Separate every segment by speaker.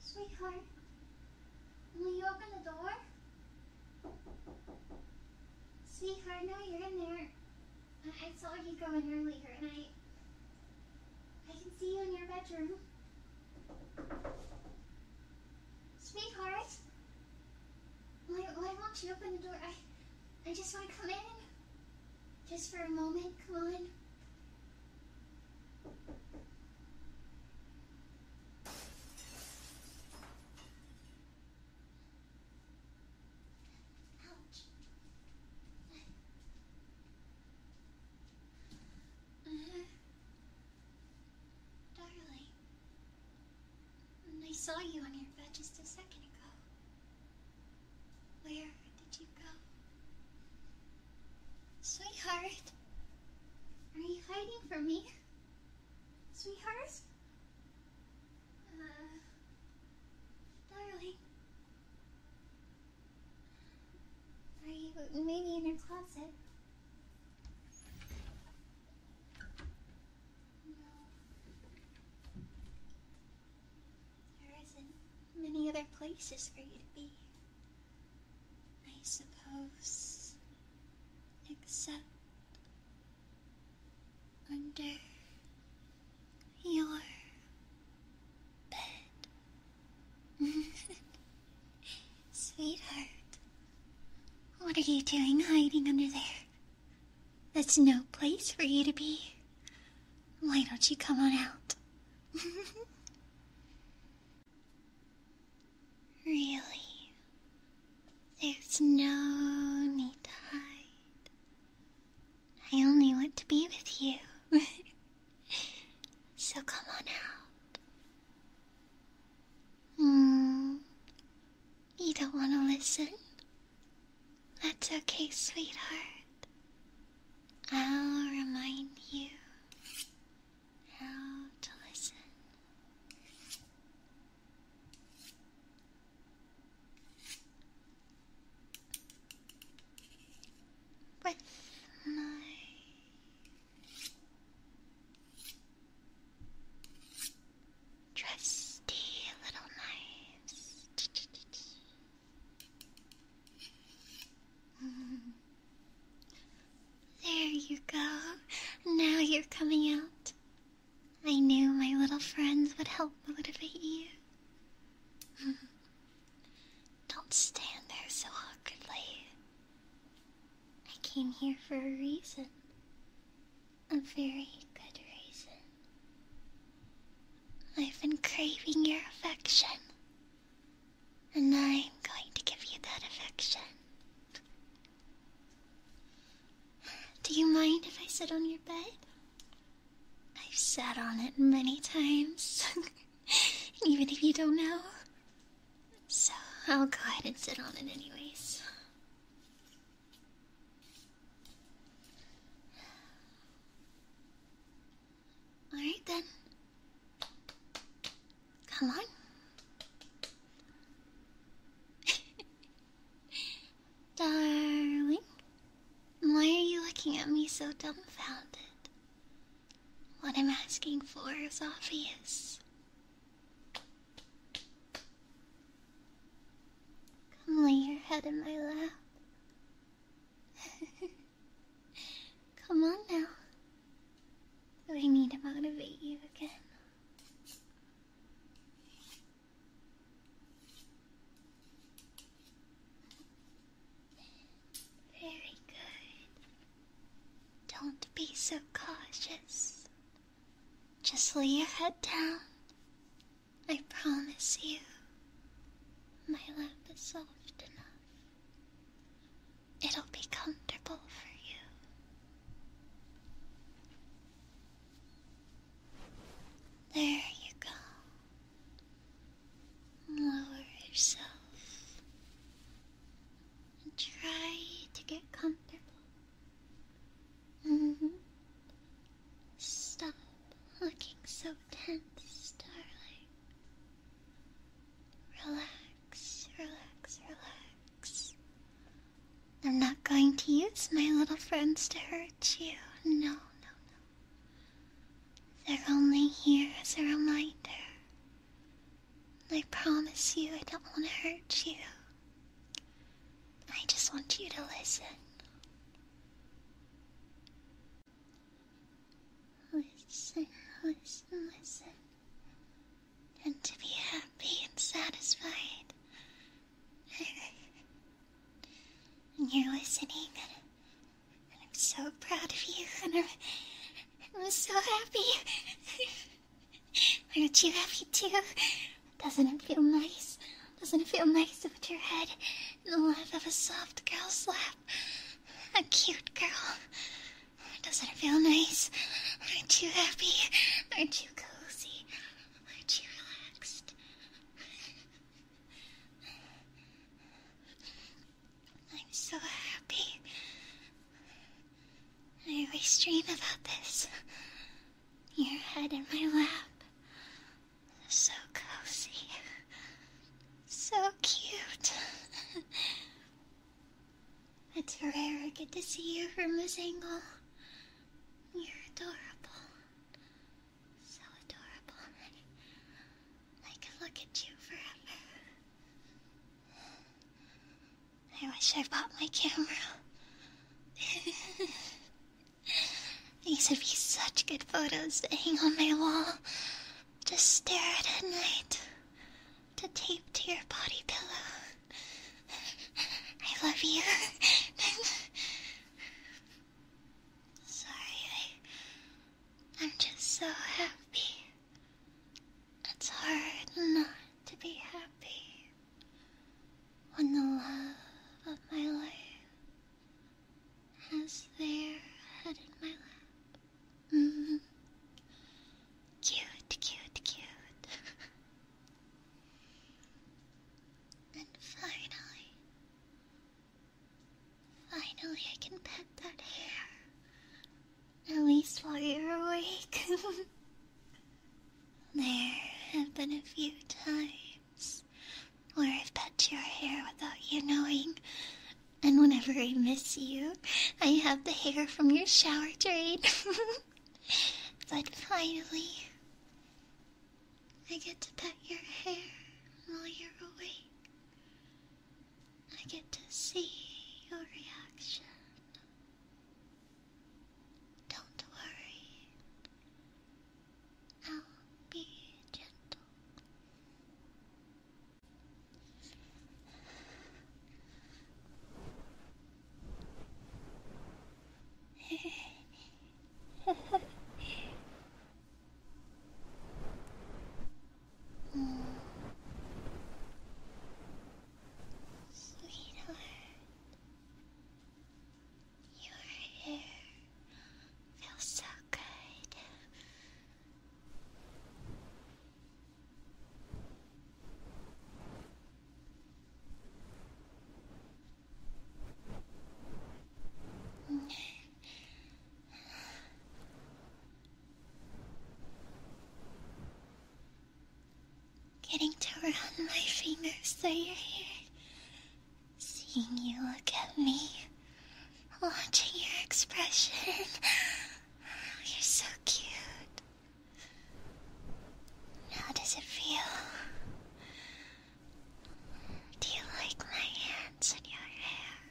Speaker 1: Sweetheart, will you open the door? Sweetheart, no, you're in there. I saw you go in earlier, and I... I can see you in your bedroom. Sweetheart? Why, why won't you open the door? I, I just want to come in. Just for a moment, come on. Uh-huh. Darling, I saw you on your bed just a second ago. Where did you go? Sweetheart, are you hiding from me? Sweetheart? Uh, darling, are you maybe in your closet? There isn't many other places for you to be. I suppose. Except. under. your. bed. Sweetheart, what are you doing hiding under there? That's no place for you to be. Why don't you come on out? really, there's no need to hide. I only want to be with you. so come on out. Hmm. You don't want to listen? That's okay, sweetheart. I'll remind you how to listen. With my Trusty little knives. There you go. Now you're coming out. I knew my little friends would help motivate you. Don't stand there so awkwardly. I came here for a reason. A very good reason. I've been craving your affection. And I'm going to give you that affection. Do you mind if I sit on your bed? I've sat on it many times. Even if you don't know, so I'll go ahead and sit on it, anyways. Alright then. Come on. Darling, why are you looking at me so dumbfounded? What I'm asking for is obvious. Come lay your head in my lap. Come on now. Do I need to motivate you again? Very good. Don't be so cautious. Just lay your head down. I promise you, my lap is soft enough. It'll be comfortable for you. There you go. Lower yourself and try to get comfortable. Mm-hmm. Stop looking so tense, darling. Relax, relax, relax. I'm not going to use my little friends to hurt you. No, no, no. They're only here as a reminder I promise you I don't want to hurt you. I just want you to listen. Listen, listen, listen. And to be happy and satisfied. and you're listening, and I'm so proud of you, and I'm, I'm so happy. Aren't you happy too? Doesn't it feel nice? Doesn't it feel nice to put your head in the lap of a soft girl's lap? A cute girl. Doesn't it feel nice? Aren't you happy? Aren't you cozy? Aren't you relaxed? I'm so happy. I always dream about this. Your head in my lap. So cozy. So cute. it's rare I get to see you from this angle. You're adorable. So adorable. I could look at you forever. I wish I bought my camera. These would be such good photos to hang on my wall. To stare at at night. To tape to your body pillow. I love you. Sorry, I, I'm just so happy. It's hard not to be happy when the love of my life has their head in my lap. Mm-hmm. Cute, cute, cute. and finally, finally, I can pet that hair at least while you're awake. there have been a few times where I've pet your hair without you knowing. And whenever I miss you, I have the hair from your shower drain. but finally, I get to pet your hair while you're awake. I get to see your reaction. Don't worry, I'll be gentle. Sweetheart, your hair feels so good. Getting to run my fingers through your hair. Seeing you look at me. Watching your expression. Oh, you're so cute. How does it feel? Do you like my hands in your hair?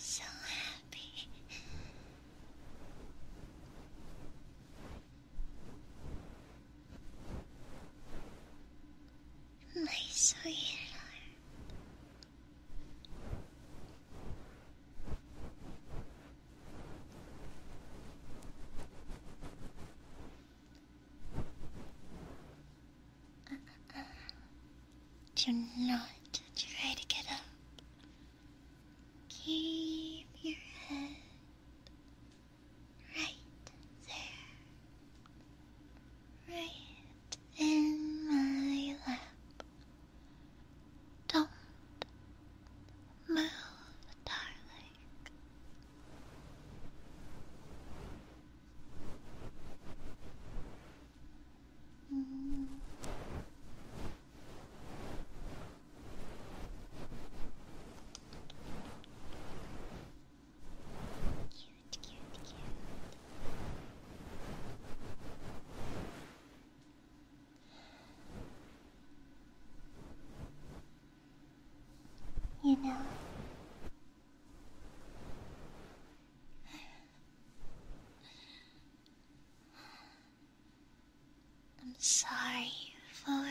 Speaker 1: So happy. My sweetheart. Do not try to get up. Keep your head right there. Right in my lap. Don't move, darling. Mm. Cute, cute, cute. You know, I'm sorry for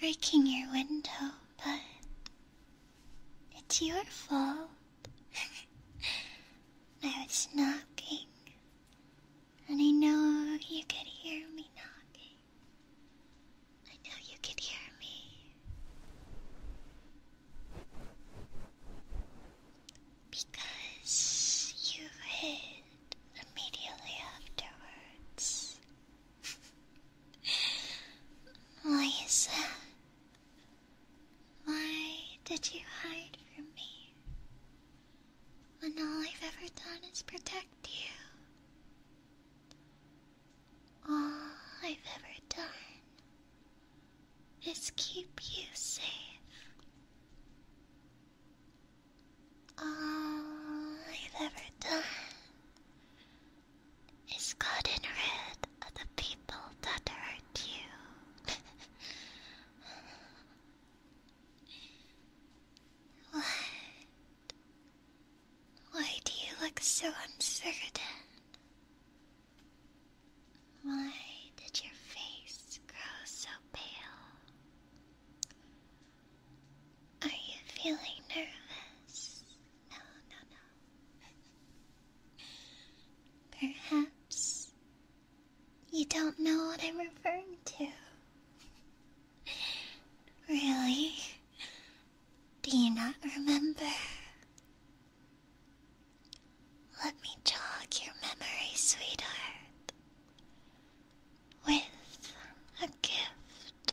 Speaker 1: breaking your window, but it's your fault. I was knocking and I know you could hear me knocking. I know you could hear me. Because you hid immediately afterwards. Why Why did you hide from me? And all I've ever done is protect you. All I've ever done is keep you safe. All I've ever done is gotten rid of the people that hurt you. What? Why do you look so uncertain? Why did your face grow so pale? Are you feeling nervous? No, no, no. Perhaps you don't know what I'm referring to. Really? Do you not remember? Let me jog your memory, sweetheart, with a gift.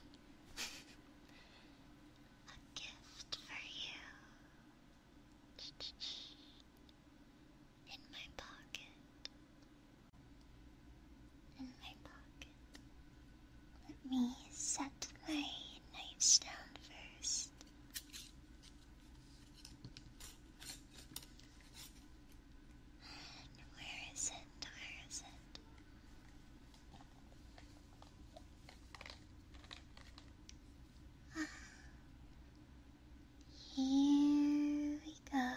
Speaker 1: a gift for you. In my pocket in my pocket. Let me set my knives down first. where is it? Where is it? Ah. here we go.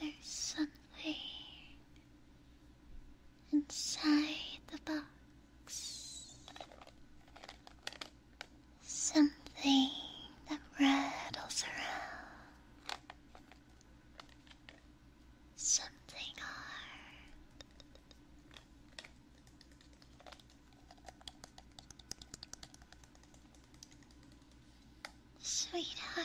Speaker 1: There's something inside the box something that rattles around, something hard. Sweetheart,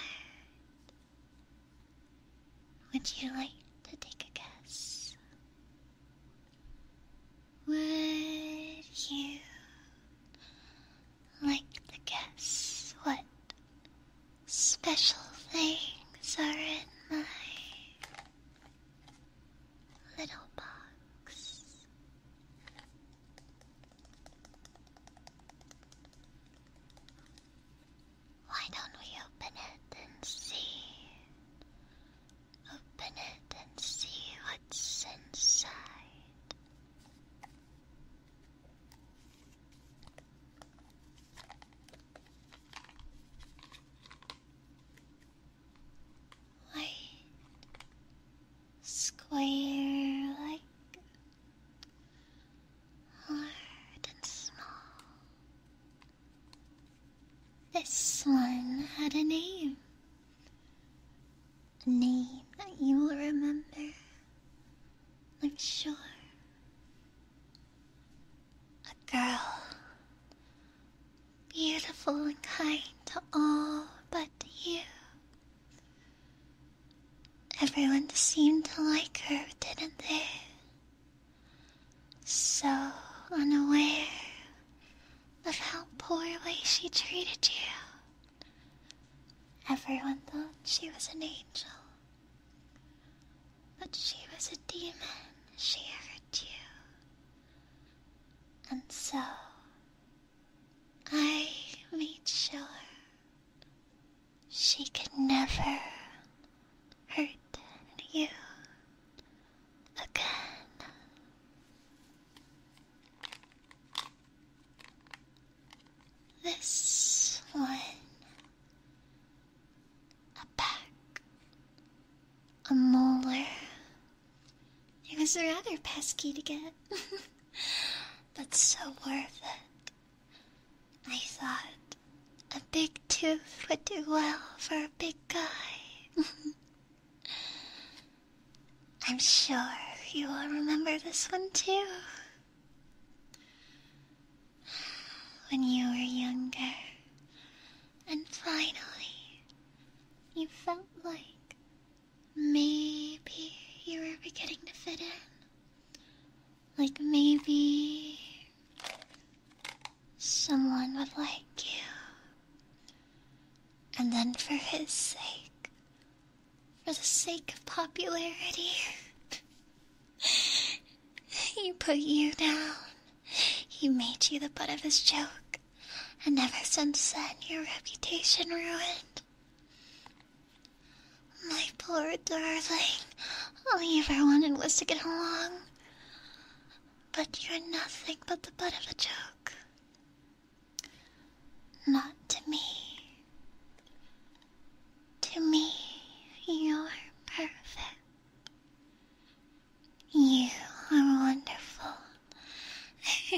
Speaker 1: would you like to take a guess? Would you like to guess what special things are in my little box? Why don't we open it and see? Open it and see what's inside. What? Square like? Hard and small. This one had a name. A name that you will remember. I'm sure. A girl. Beautiful and kind to all but you. Everyone seemed to like her, didn't they? So unaware of how poorly she treated you. Everyone thought she was an angel, but she was a demon. She hurt you. And so, I made sure she could never hurt you again. This one, a back, a molar. It was rather pesky to get, but so worth it. I thought a big tooth would do well for a big guy. I'm sure you will remember this one too. When you were younger, and finally, you felt like maybe you were beginning to fit in. Like maybe someone would like you. And then for his sake, for the sake of popularity, he put you down. He made you the butt of his joke, and ever since then your reputation ruined. My poor darling, all you ever wanted was to get along. But you're nothing but the butt of a joke. Not to me. To me, you're perfect. You are wonderful.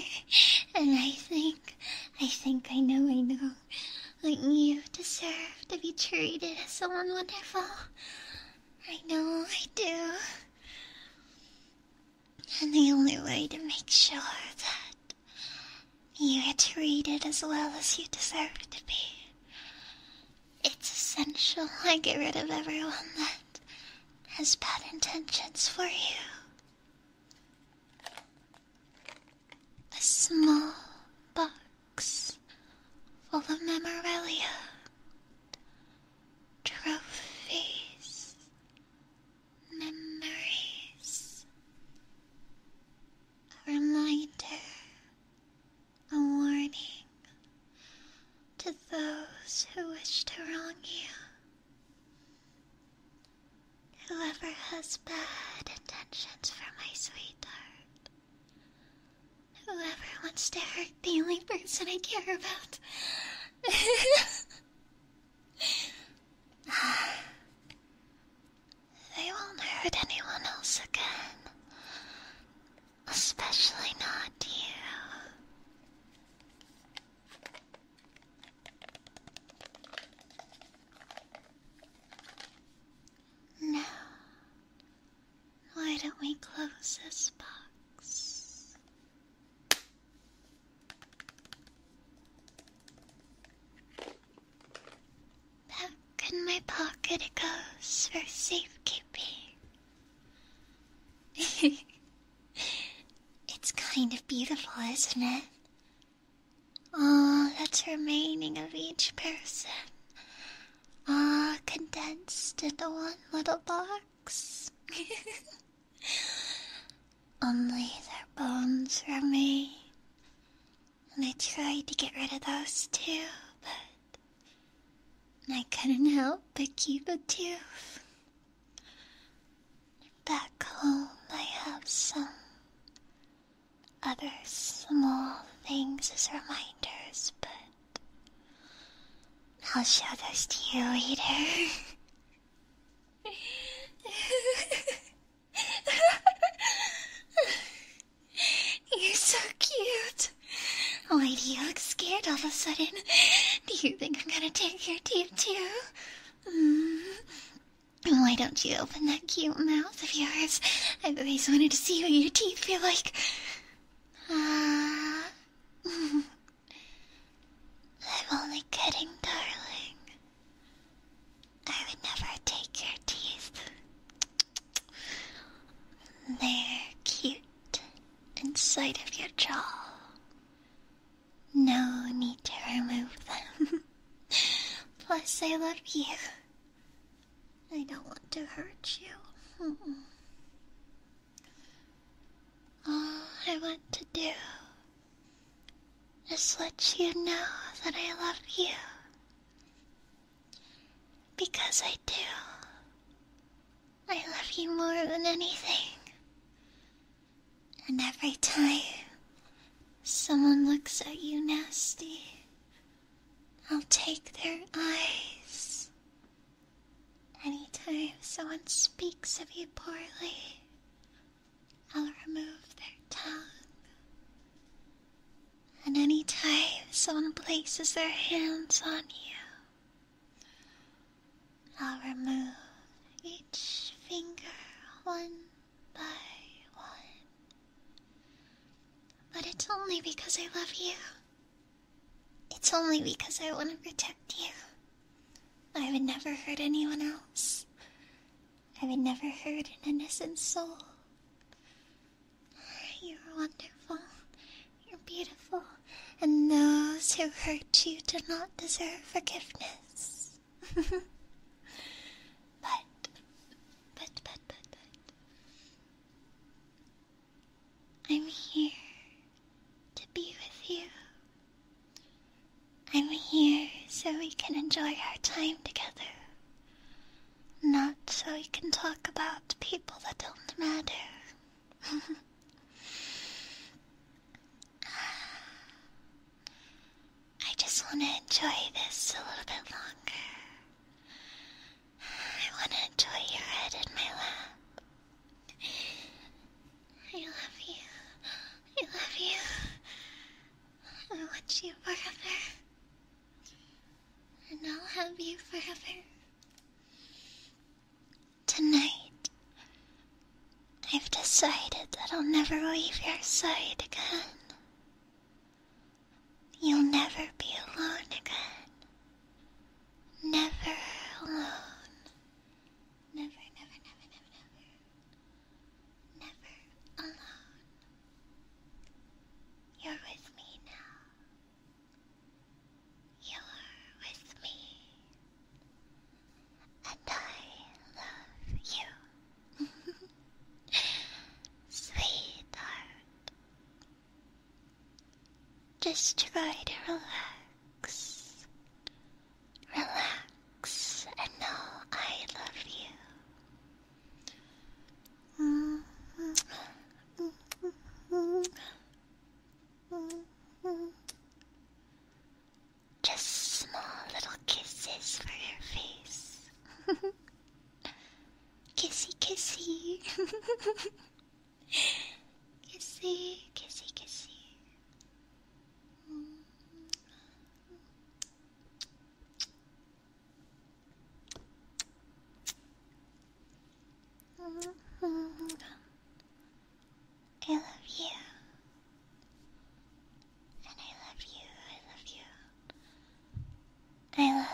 Speaker 1: and I think, I think I know, I know that you deserve to be treated as someone wonderful. I know I do. And the only way to make sure that you are treated as well as you deserve to be. It's essential I get rid of everyone that has bad intentions for you. A small box full of memorabilia, trophies, memories, a reminder, a warning to those who wish to wrong you. Whoever has bad intentions for my sweetheart. Whoever wants to hurt the only person I care about. they won't hurt anyone else again. Especially not you. Now, why don't we close this box? Back in my pocket it goes for safekeeping. it's kind of beautiful, isn't it? All that's remaining of each person, all condensed into one little bar. Only their bones remain. And I tried to get rid of those too, but I couldn't help but keep a tooth. Back home, I have some other small things as reminders, but I'll show those to you later. You're so cute. Why do you look scared all of a sudden? Do you think I'm gonna take your teeth too? Mm. Why don't you open that cute mouth of yours? I've always wanted to see what your teeth feel like. Ah. I'm only kidding, darling. I would never take your teeth. They're cute inside of your jaw. No need to remove them. Plus, I love you. I don't want to hurt you. All I want to do is let you know that I love you. Because I do. I love you more than anything. And every time someone looks at you nasty, I'll take their eyes Anytime someone speaks of you poorly, I'll remove their tongue. And anytime someone places their hands on you, I'll remove each finger one by one. But it's only because I love you. It's only because I want to protect you. I would never hurt anyone else. I would never hurt an innocent soul. You're wonderful. You're beautiful. And those who hurt you do not deserve forgiveness. but, but, but, but, but. I'm here to be with you. I'm here so we can enjoy our time together. Not so we can talk about people that don't matter. I just want to enjoy this a little bit longer. I want to enjoy your head in my lap. I love you. I love you. I want you forever. And I'll have you forever. Tonight, I've decided that I'll never leave your side again. You'll never be alone again. Never alone. Never, never, never, never, never. Never alone. You're with me now. You're with me. And I love you. Sweetheart. Just try to relax. Relax and know I love you. Just small little kisses for your face. kissy, kissy. Kissy, kissy, kissy. I love you. And I love you, I love you. I love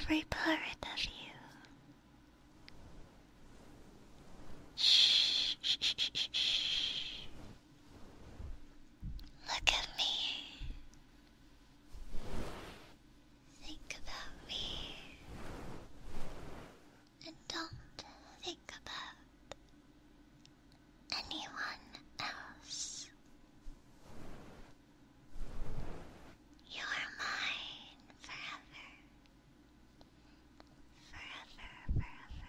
Speaker 1: every part of you. Look at me. Think about me. And don't think about anyone else. You're mine forever forever, forever.